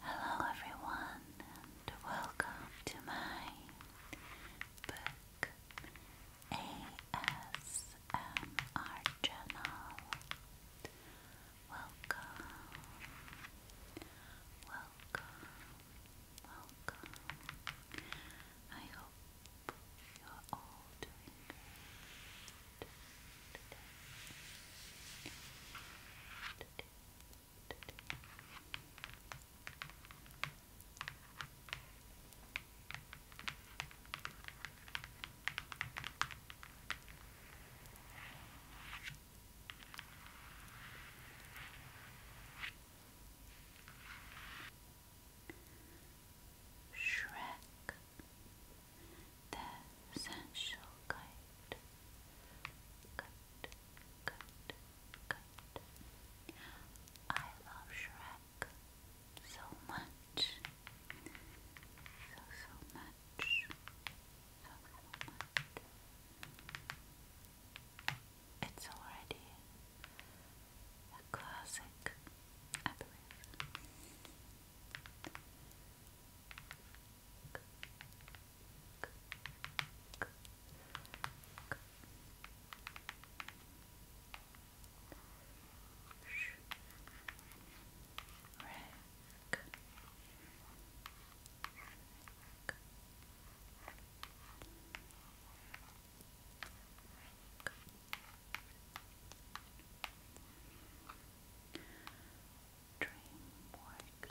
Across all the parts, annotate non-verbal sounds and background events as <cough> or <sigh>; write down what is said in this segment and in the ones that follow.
Hello, everyone, and welcome to my book ASMR channel. Welcome, welcome, welcome. I hope you're all doing great today. today. today. Shrek, the sensual kite, kite, kite, kite. I love Shrek so much, so so much. It's already a classic, I believe. Red back. back. Dreamworks. Dreamworks. Dreamworks. Dreamworks.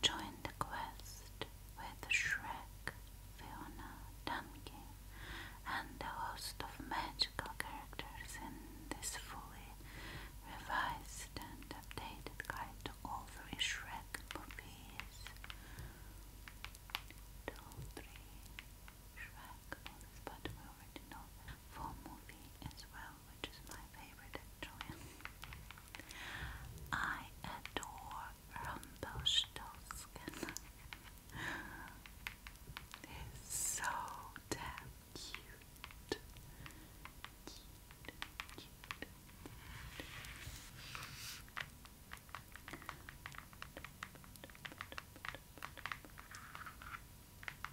Join the quest with Shrek, Fiona, Donkey, and a host of magical characters in this fully revised and updated guide to all three Shrek movies. To three Shrek movies, but we already know that movie as well which is my favorite actually. I adore Rumpelstiltskin. It's so damn cute.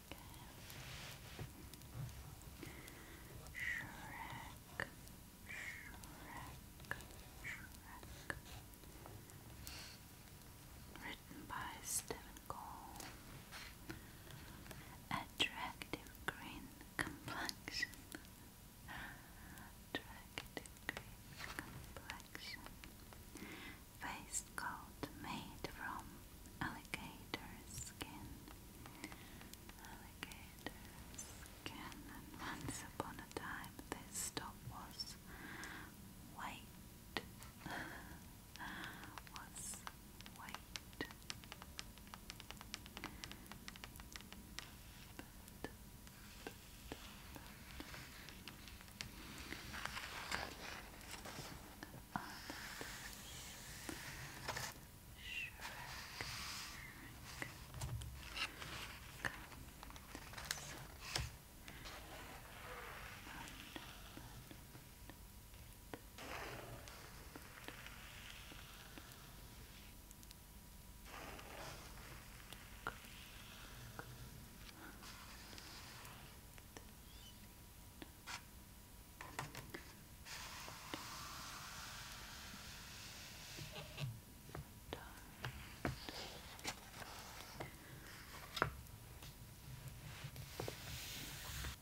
Shrek, Shrek, Shrek. Written by Stephen Cole. Attractive green complexion. Attractive green complexion waistcoat made from alligator skin. Alligator skin. And once upon a time, this top was white. <laughs> was white others. Shrek, Shrek.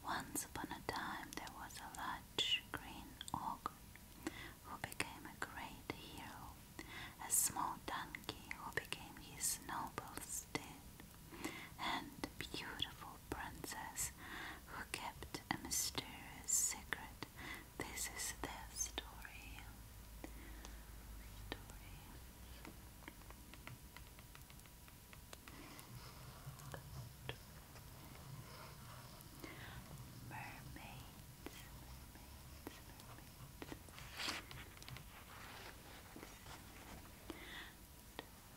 Once upon a time, there was a large green ogre who became a great hero, a small donkey who became his noble steed, and beautiful princess who kept a mysterious secret. This is their story. mermaids.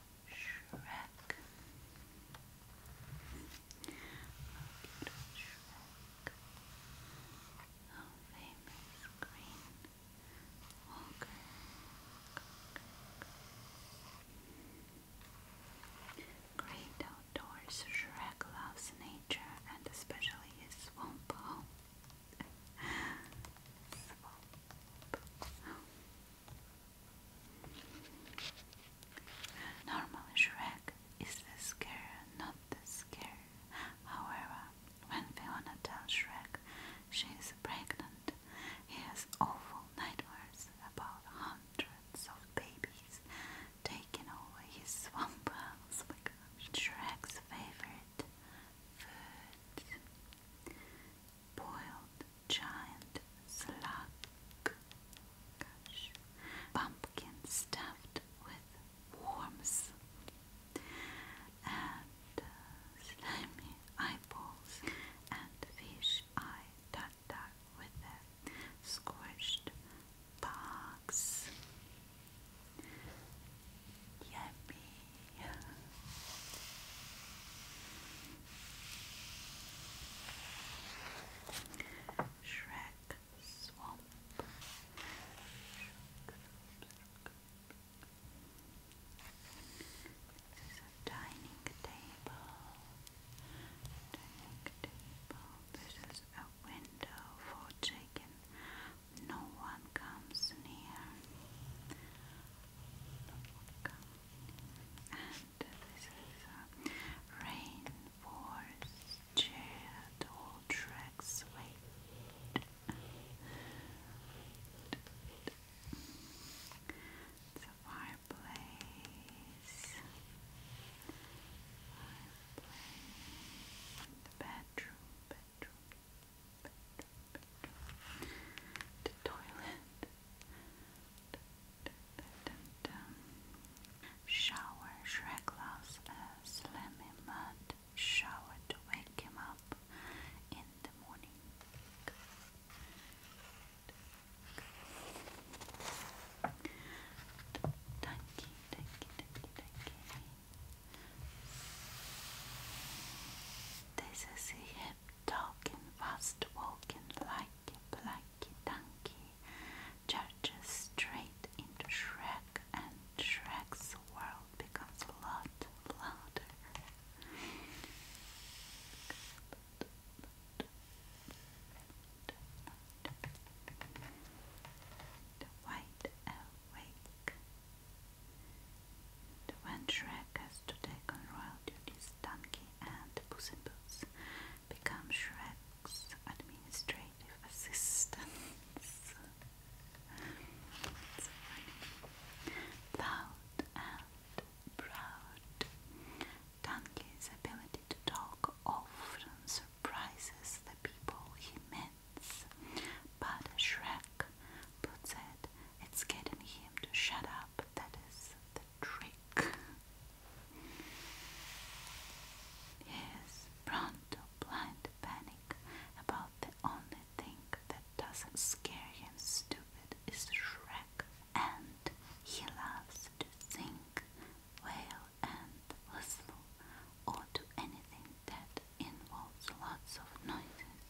Shrek. Oh, Shrek. Oh, famous Green Walker. Great outdoors, Shrek loves nature and especially his swamp home. <laughs> Normally Shrek is the scare, not the scare. However, when Fiona tells Shrek she is pregnant, he has awful nightmares about hundreds of babies taking over his swamp house. Oh Shrek's favorite food boiled giant slug, gosh, pumpkin stuffed with worms, and uh, slimy eyeballs, and fish eye tartar with the squished bugs. Yummy. Yeah. Shrek Swamp. This is a Dining table. This is a window for chicken. No one comes near. And this is uh, rain force tracks wait. It's fireplace. Fireplace. The bedroom, bedroom the toilet, shower, Shrek loves a uh, slimy mud shower to wake him up in the morning. Tanky, tanky, tanky, tanky. This is a talking, fast walking, likey, likey, donkey, charges straight into Shrek, and Shrek's world becomes a lot louder. Wide awake, the Van Shrek has to take on royal duties, Donkey and Puss become Shrek's administrative assistants. Loud and proud. Donkey's ability to talk often surprises the people he meets, but Shrek puts it, it's getting him to shut up up. That is the trick. Yes, Pronto, blind panic about the only thing that doesn't scare him stupid is Shrek. And he loves to sing, wail and whistle, or do anything that involves lots of noises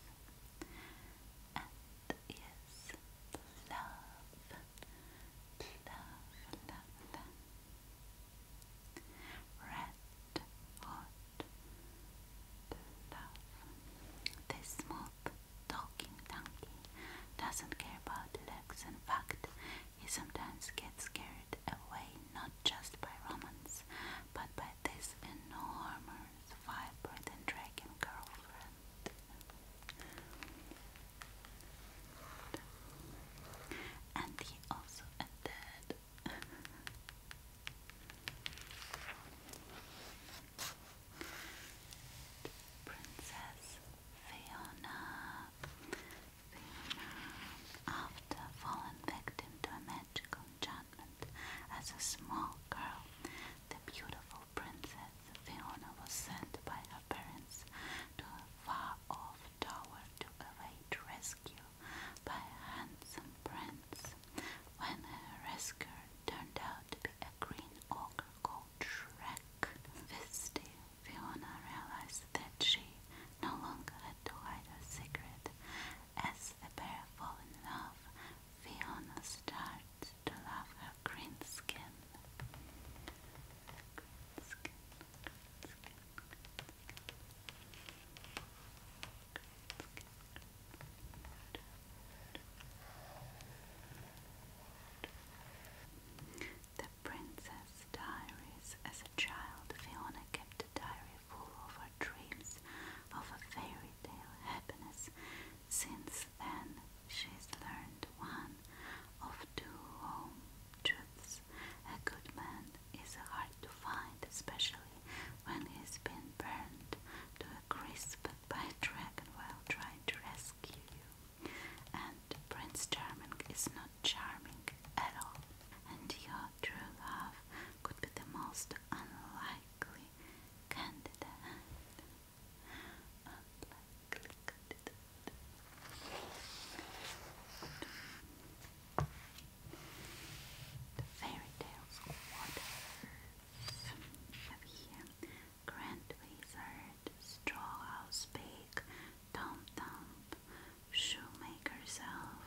is love, love, love. Red hot love. This smooth talking donkey doesn't care about looks. In fact, he sometimes gets carried away not just by romance, but by this enormous Flowers, Vibrant Dragon Girlfriend. And he also ended. Princess Fiona. Fiona, after falling victim to a magical enchantment, as a small girl, the beautiful princess Fiona was sent by her parents to a far off tower to await rescue by a handsome prince. When her rescuer turned out to be a green ogre called Shrek, this Fiona realized that she no longer had to hide her secret. As the pair fall in love, Fiona starts to love her green skin. The Princess Diaries. As a child, Fiona kept a diary full of her dreams of a fairy tale happiness since then, she's learned one of two home truths. A good man is hard to find, especially when he's been burned to a crisp by a dragon while trying to rescue you. And Prince Charming is not charming at all. And your true love could be the most unlikely candidate. The fairy tales of Have here Grand Wizard, Straw House Pig, Tom Thump, Shoemaker's Elf,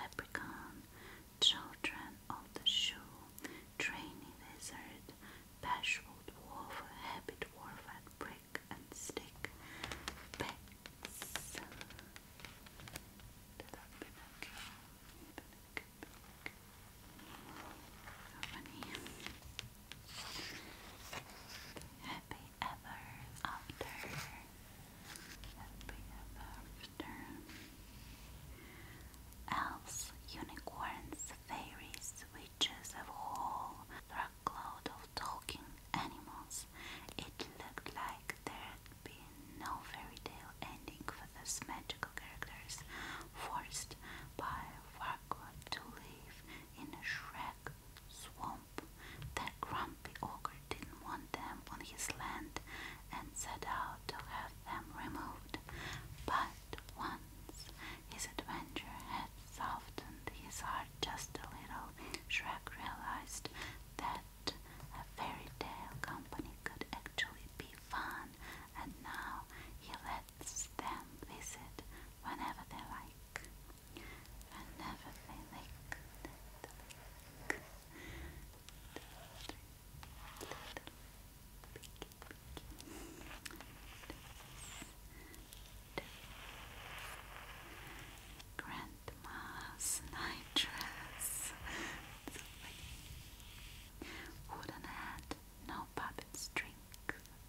Leprechaun, children of the shoe, trainy lizard, bashful dwarf, habit dwarf, and brick and stick, uh, Happy ever after. Happy ever after. Elves, unicorns, fairies, witches, of all, a whole of talking animals. It looked like there'd been no fairy tale ending for these magical characters, forced by Farquaad to live in a shrek swamp. That grumpy ogre didn't want them on his land, and set out to have them removed. But once his adventure had softened his heart just a little, Shrek realized that a fairy tale company could actually be fun, and now he lets them visit whenever they like. Whenever they like. Grandma's night Wooden head, no puppet string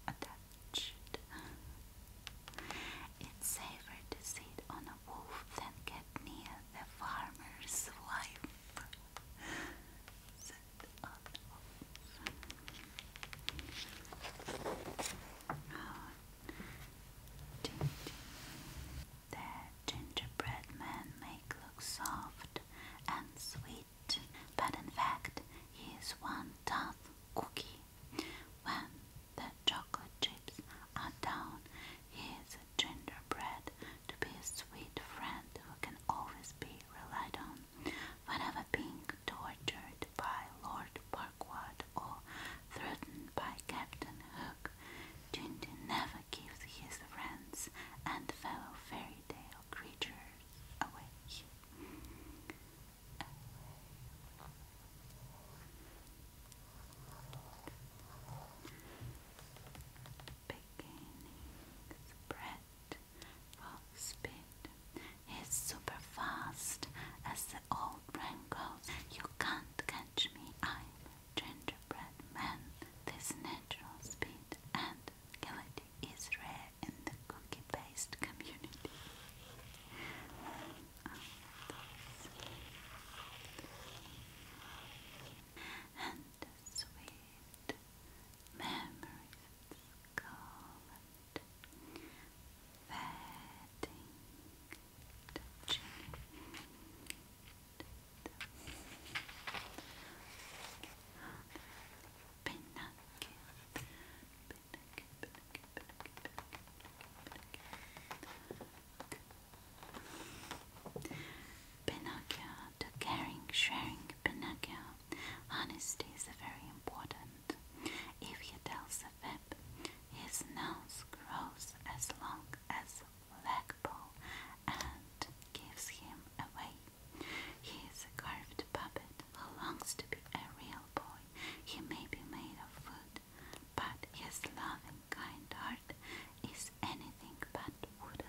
attached. It's safer to sit on a wolf than get near the farmer's wife on gingerbread men make look soft and sweet, but in fact he is one tough cookie. When the chocolate chips are down, he gingerbread to be a sweet friend who can always be relied on whenever being tortured by Lord Parkward or threatened by Captain Hook. Tintin never gives his friends and fellow fairy tale creatures away. away. spread Fox bit. He's super fast as the old brain goes. You can't catch me. I'm gingerbread man. This natural speed and agility is rare in the cookie based community sweet memories called fading, touching. Pinocchio, Pinocchio, Pinocchio, Pinocchio, Pinocchio, Pinocchio. Pinocchio, caring, sharing Pinocchio. Honesty is very important. If he tells a fib, his nose grows as long as a leg and gives him away. He is a carved puppet who longs to be a real boy. He may be made of wood, but his loving kind heart is anything but wooden.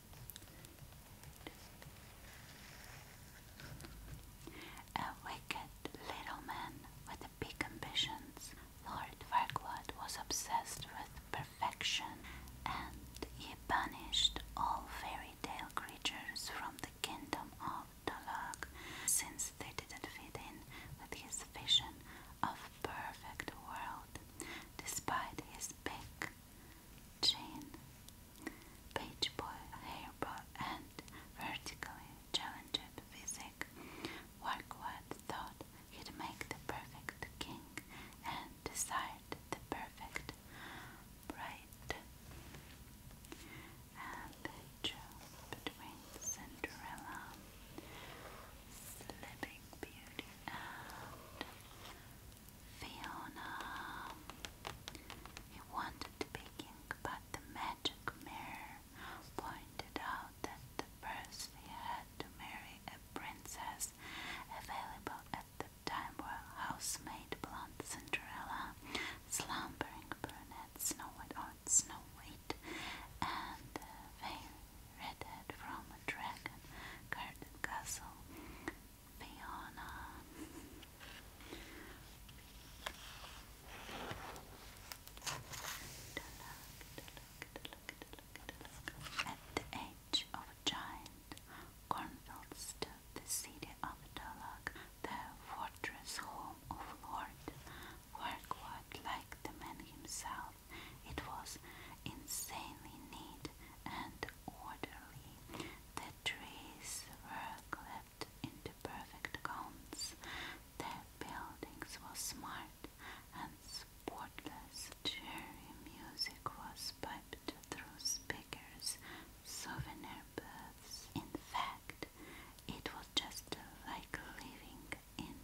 A wicked little man with big ambitions, Lord Farquaad was obsessed with perfection and he banished all fairy tale creatures from the kingdom of Talag since they didn't fit in with his vision of perfect world. Despite his big chain, page boy, and vertically challenged physique. Warquart thought he'd make the perfect king and desired the perfect bride. And they between Cinderella, Sleeping Beauty, and Fiona. wanted to begin, but the magic mirror pointed out that the first he had to marry a princess available at the time were housemaid blonde Cinderella, slumbering brunette Snow White or Snow White, and uh, veil Redhead from Dragon, Garden Castle, Fiona. At the edge of a giant cornfield stood the city of Dolok, the fortress home of Lord Farquaad, like the man himself. It was insanely neat and orderly. The trees were clipped into perfect cones. The buildings were smart and sportless. Cheery music was piped through speakers, souvenir booths. In fact, it was just like living in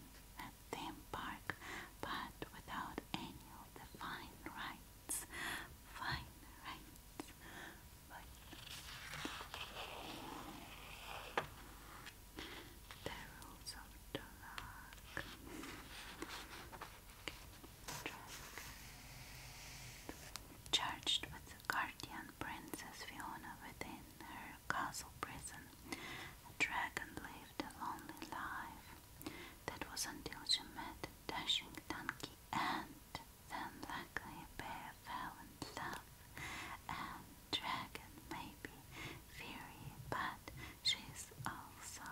a theme park, but without any know the fine rights, fine rights, but the rules of Dolak. Charged with the guardian princess Fiona within her castle prison, a dragon lived a lonely life. That was until she met a dashing donkey, and then luckily bear fell in love, and dragon may be fiery, but she's also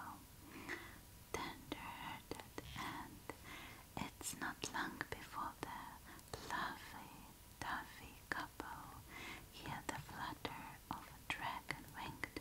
tender-hearted, and it's not long before the lovely Duffy couple hear the flutter of dragon-winged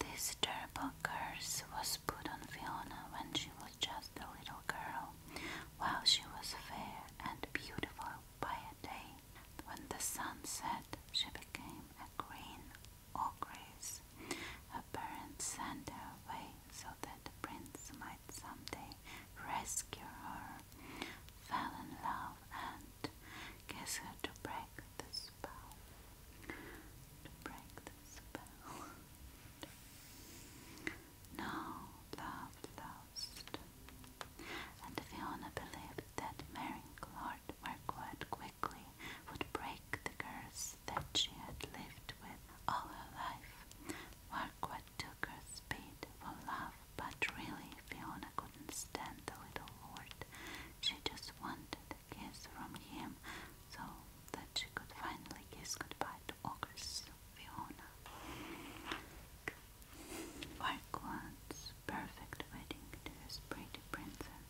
This terrible curse was put on Fiona when she was just a little girl, while she was fair and beautiful by a day. When the sun set, she became a queen or grace. Her parents sent her away so that the prince might someday rescue her fell in love and gets her to break the spell. To break the spell. <laughs> no love lost. And Fiona believed that marrying Lord Marquardt quickly would break the curse that she had lived with all her life. Why Margaret took her speed for love, but really Fiona couldn't stand the little lord. She just wanted a kiss from him so that she could finally kiss goodbye to Ogre's Fiona. Farquaad's perfect wedding to his pretty princess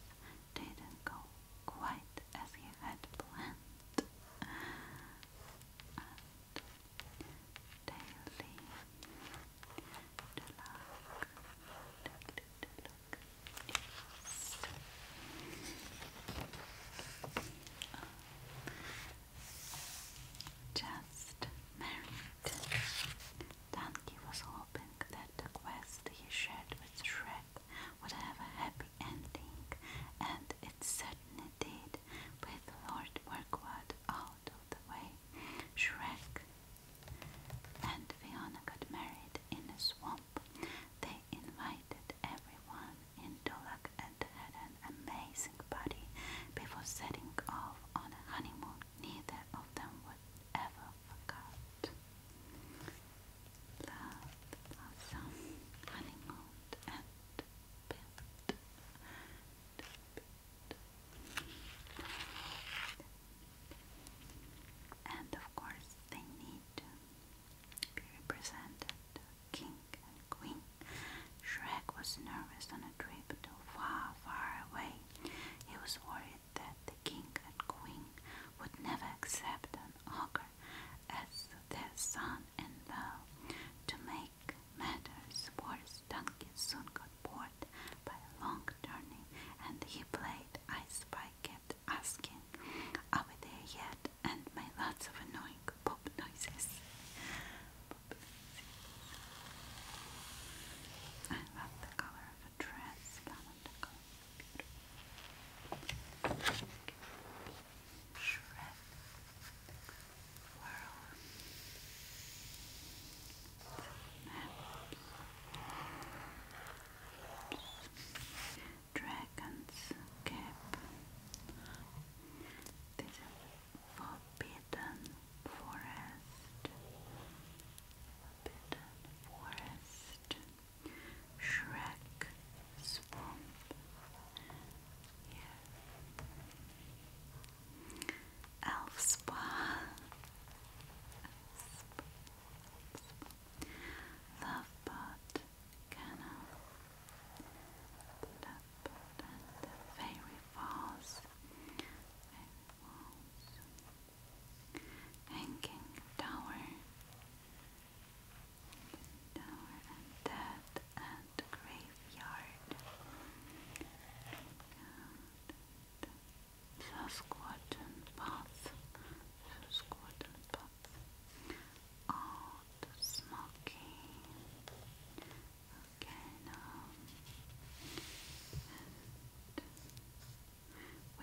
didn't go quite as he had planned daily deluxe, daily deluxe, just married. Danke was hoping that the quest he shared with Shrek would have a happy ending, and it certainly did with Lord Farquaad out of the way, Shrek and Fiona got married in a swamp. They invited everyone in Dulac and had an amazing party before setting off on a honeymoon neither of them would ever forget. Love, blossom, honeymoon, and and of course, they need to be represented. King and Queen. Shrek was nervous on a trip far, far away. He was worried that the King and Queen would never accept an ogre as their son in law to make matters worse, Duncan soon got bored by a long journey, and he played ice Spy kept asking, Are we there yet? and made lots of annoying pop noises. Swirl. Dragon's Cap. This Forbidden Forest. Forbidden Forest. Shrek Swamp. Elf Spa. Lovebot Canal. Fairy Falls. Hanging Tower. Dead and Grey graveyard. Saskatchewan path, path. Oh, the smoky. Okay, now. And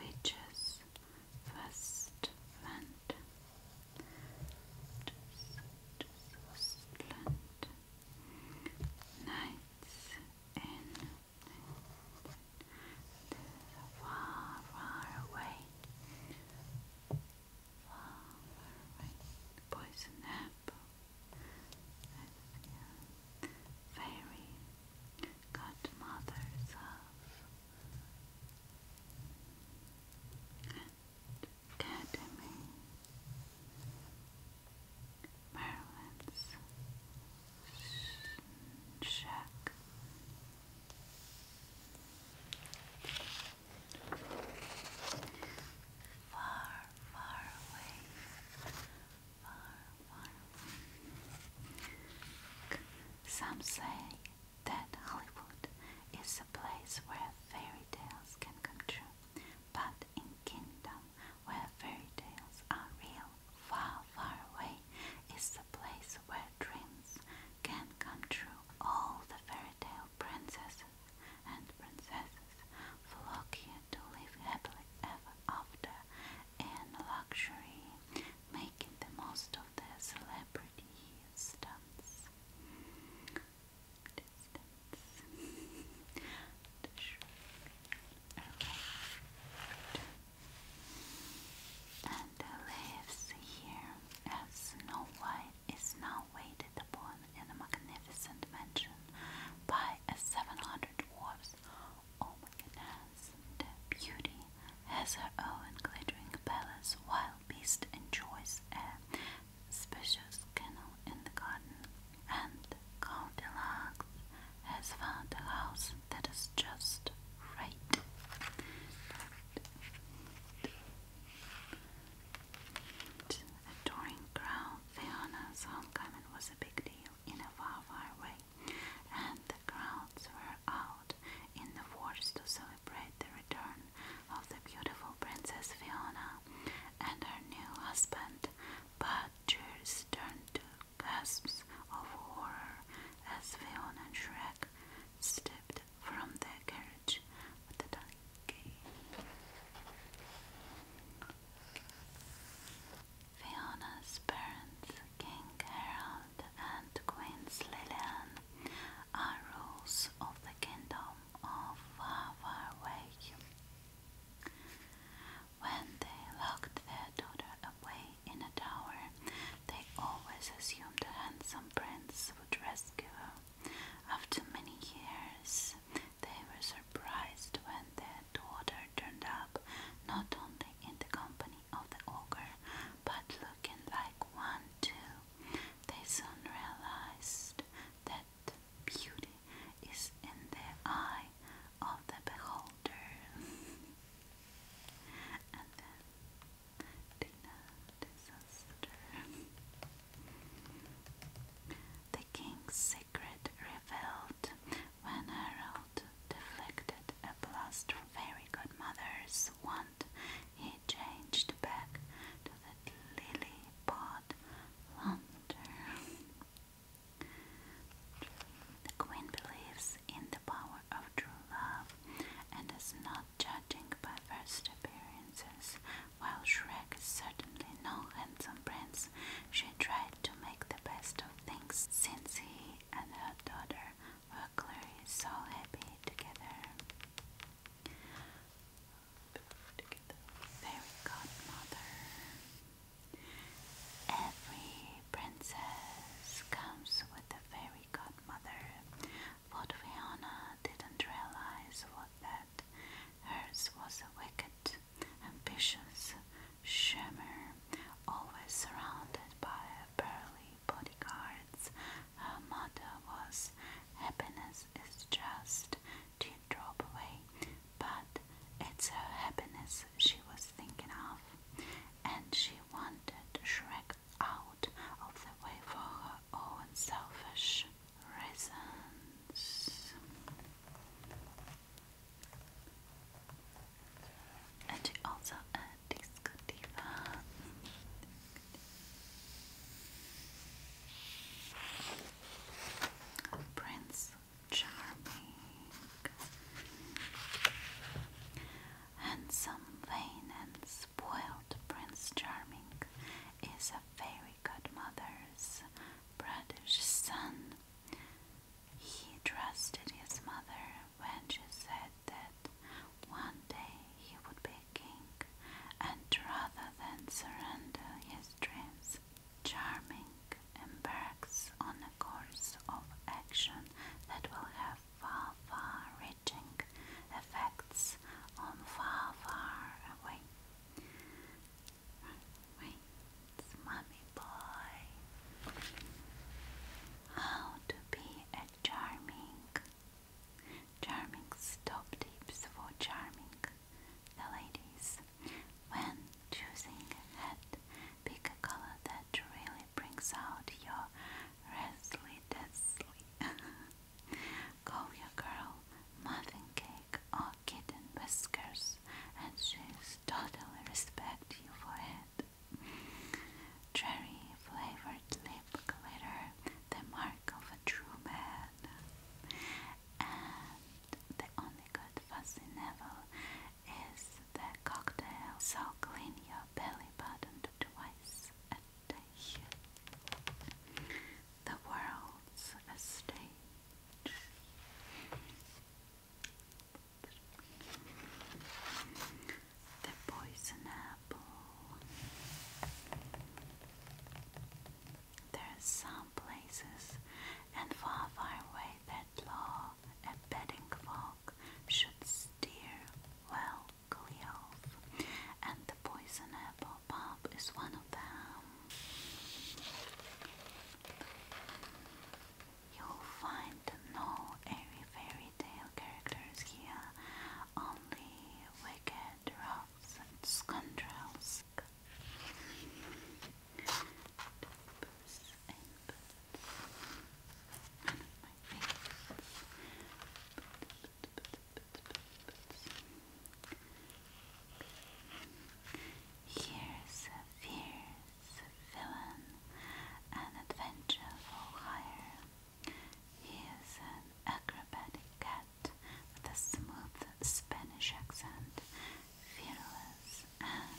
witches, first Just, just land nights in far, far away. Far, away. Poison apple. Fairy godmothers of. Academy, Maryland's Shack. Far, far away, far, far away. Some say that Hollywood is a place where fairy tales can come true, but in Kingdom where fairy tales are real, far, far away is the place where dreams can come true. All the fairy tale princesses and princesses flock here to live happily ever after in luxury, making the most of their celebrity stunts. And lives here as Snow White is now waited upon in a magnificent mansion by a 700 dwarfs. Oh my goodness, beauty has her own glittering palace while Beast enjoys a spacious kennel in the garden, and Count Deluxe has found a house that is just right. But adoring crowd, Fiona's homecoming was a big deal in a far, far way, and the crowds were out in the forest to celebrate the return of the beautiful Princess Fiona and her new husband, but tears turned to gasps of horror as Fiona and Shrek stepped from their carriage Fiona's parents, King Harold and Queen Lillian, are of the kingdom of Far when they locked their daughter away in a tower, they always assumed a handsome prince would rescue her. After many years, they were surprised when their daughter turned up not only in the company of the ogre, but looking like one too. They soon realized. That beauty is in the eye of the beholder. <laughs> and then Dina disaster. The king's secret revealed when Harold deflected a blast from Fairy Godmother's wand. He changed back to the lily pod. Lantern. The Queen believes in the power of true love and is not judging by first appearances. While Shrek is certainly no handsome prince, she tried to make the best of things since he and her daughter were clearly so happy together. Fairy godmother. Every princess comes with a fairy godmother. But Fiona didn't realize what that hers was a wicked, ambitious shimmer, always surrounded by burly bodyguards. Her mother was happiness happiness is just to drop away, but it's a happiness she was thinking of, and she wanted Shrek out of the way for her own selfish reasons. And she also a uh, disco diva. Prince charming, handsome, vain, and spoiled Prince Charming is a fairy godmother's brother's son. He trusted his mother when she said that one day he would be a king, and rather than surrender his dreams, Charming embarks on a course of action that will have far, far reaching effects on far, far away. Wait, Mummy Boy. How to be a charming. Charming's top tips for charming the ladies. When choosing head, pick a color that really brings out your restlessly <laughs> dazzly. Call your girl muffin cake or kitten whiskers, and she's totally respect you for it. Cherry flavored lip glitter, the mark of a true man. And the only really good is the cocktail, so clean your belly button twice a day. The world's a stage. The poison apple. There are some places, and far, far away, that law and betting folk should steer well clear and the poison apple pub is one of them. You'll find no fairy tale characters here, only wicked rogues and scoundrels. Birds and Here's a fierce villain, an adventurer for hire. He is an acrobatic cat with a smooth Spanish accent fearless and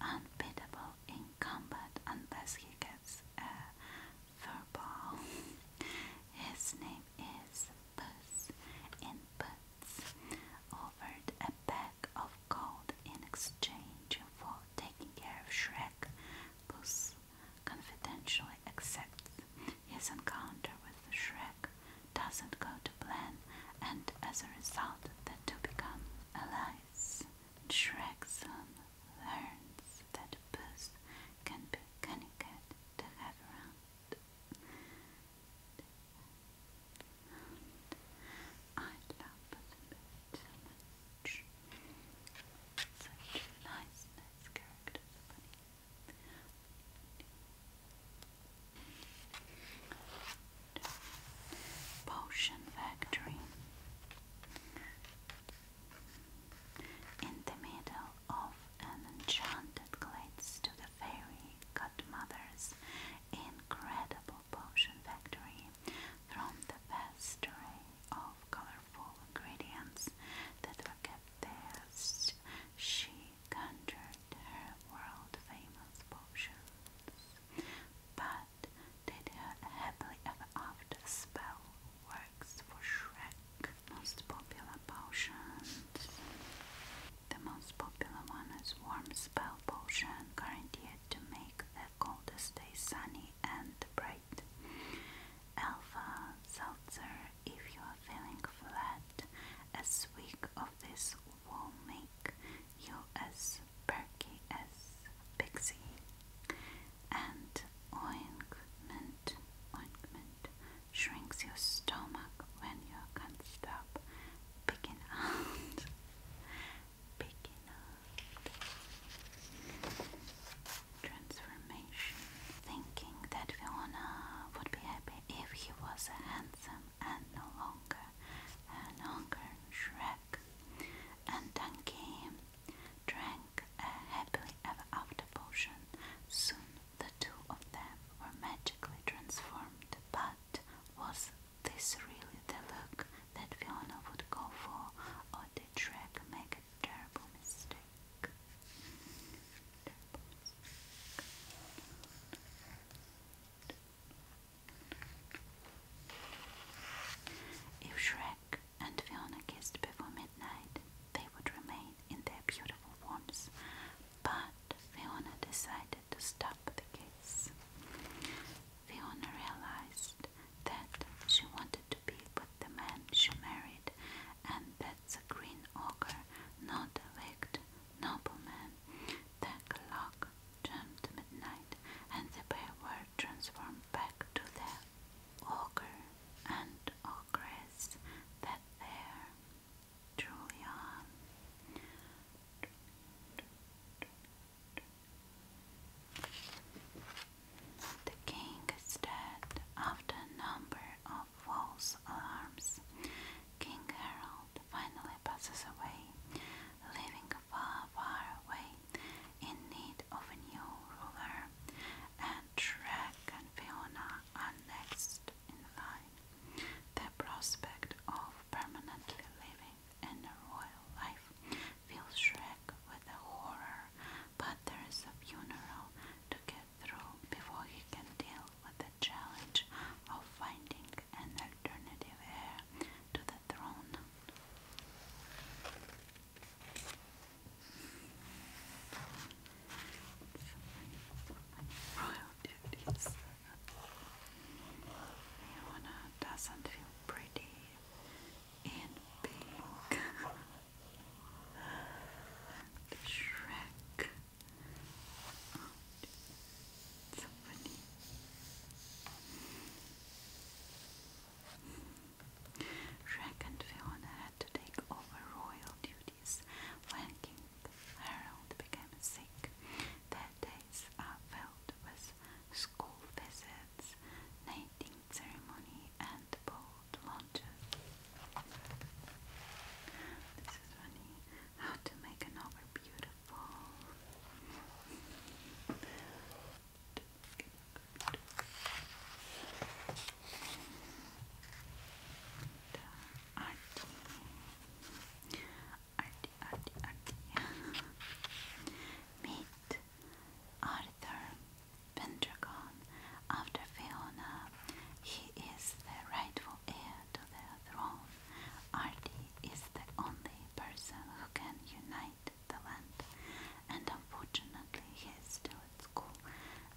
unbeatable in combat unless he gets a fur ball. His name is Puss in Puss, offered a bag of gold in exchange for taking care of Shrek. Puss confidentially accepts his encounter with Shrek doesn't go to plan, and as a result, they two become allies. Shrexon learns that Booth can be cunning to have I love Elizabeth Such a nice, nice character. Potion Factory in the middle of an enchanted glade stood a fairy godmother's incredible potion factory. From the vast array of colorful ingredients that were kept there she conjured her world famous potions, but did her happily ever spell works for Shrek. Most popular potions. The most popular one is Warm Spell Potion, guaranteed to make the coldest day sunny and bright. Alpha Seltzer, if you are feeling flat, a swig of this will make you as perky as Pixie. And ointment, ointment shrinks your stomach when you can't stop picking out. Picking <laughs> Transformation. Thinking that Fiona would be happy if he was handsome and no longer and hunger shrek. And Dunkey drank a happily ever after potion. Soon the two of them were magically transformed, but was this really the look that Fiona would go for, or did Shrek make a Terrible mistake. If Shrek and Fiona kissed before midnight, they would remain in their beautiful forms, but Fiona decided to stop the kiss. Fiona realized that she wanted to be with the man she married, and that the green ogre, not wicked noblemen, the clock jumped midnight, and the pair were transformed back to the ogre and ogress that there truly are. The king stared after a number of false alarms. King Harold finally passes away, leaving far, far away in need of a new ruler, and Shrek and Fiona are next in line. The prospect of permanently living in a royal life fills Shrek with a horror, but there is a funeral to get through before he can deal with the challenge of finding an alternative heir to the throne. Royal duties. Leona doesn't feel pretty in pink. <laughs> Shrek so funny. Fiona had to take over royal duties when King Harold became sick. Their days are filled with school visits, mating ceremony, and boat launches. This is funny. How to make an over beautiful. Meet Arthur Pendragon after Fiona. He is the rightful heir to the throne, Ardi is the only person who can unite the land, and unfortunately he is still at school,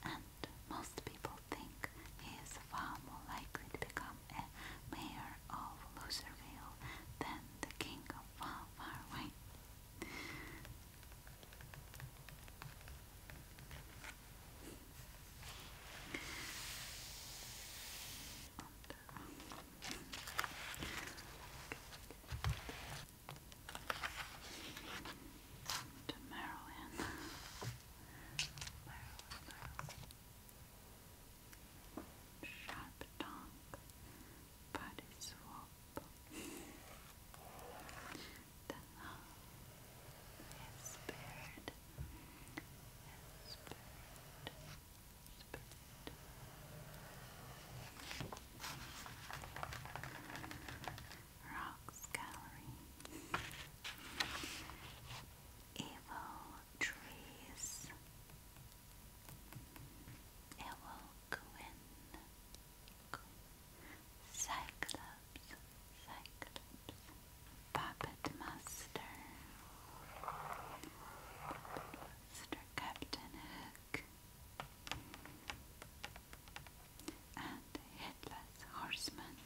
and most people think he is far more likely to become a mayor of Loserville than the king of far, far away to Maryland. Sharp tongue, body swap. The love is spared Spirit. Rocks Gallery. Evil Trees. Evil Quinn. Cyclops. Cyclops. Puppet Master, Puppet Captain Hook, and Headless Horseman.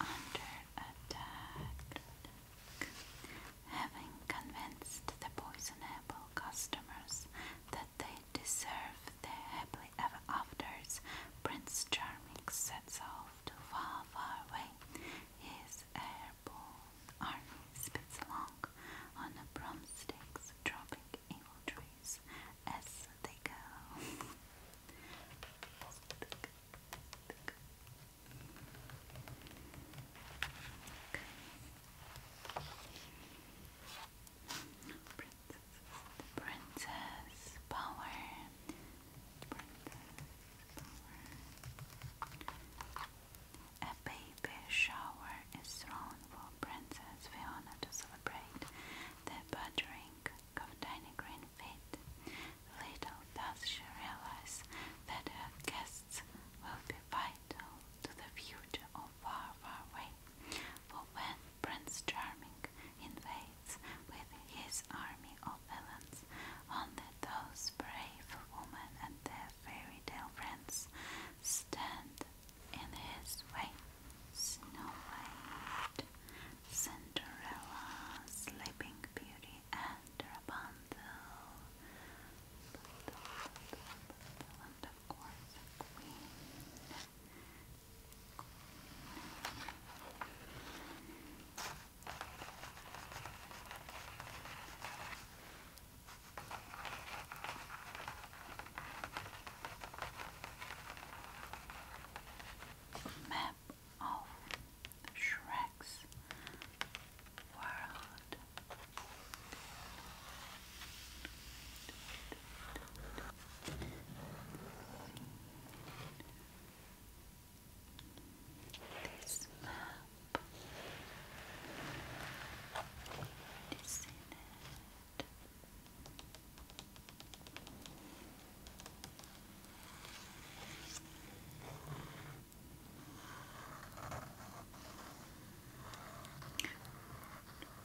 Under attack. Having convinced the poison customers that they deserve the happily ever afters. Prince Charming sets off to far, far away. His airborne army speeds along on the broomsticks, dropping evil trees as they go. Princess, princess power. A baby shower is thrown for Princess Fiona to celebrate the budding of Tiny Green Feet. Little does she realize that her guests will be by to the future of Far Far Away, for when Prince Charming invades with his army of villains, only those brave women and their fairy tale friends stand in his way. Snow White, Cinderella, Sleeping Beauty, and Rapunzel or the Map of Shrek's world. This map is in it. Good.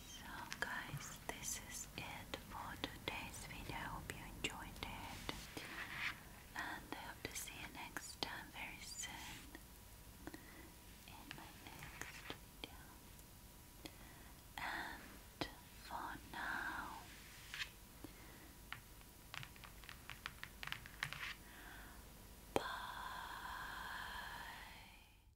So guys, this is it for today's video. I hope you enjoyed it. And I hope to see you next time very soon in my next video. And for now, bye.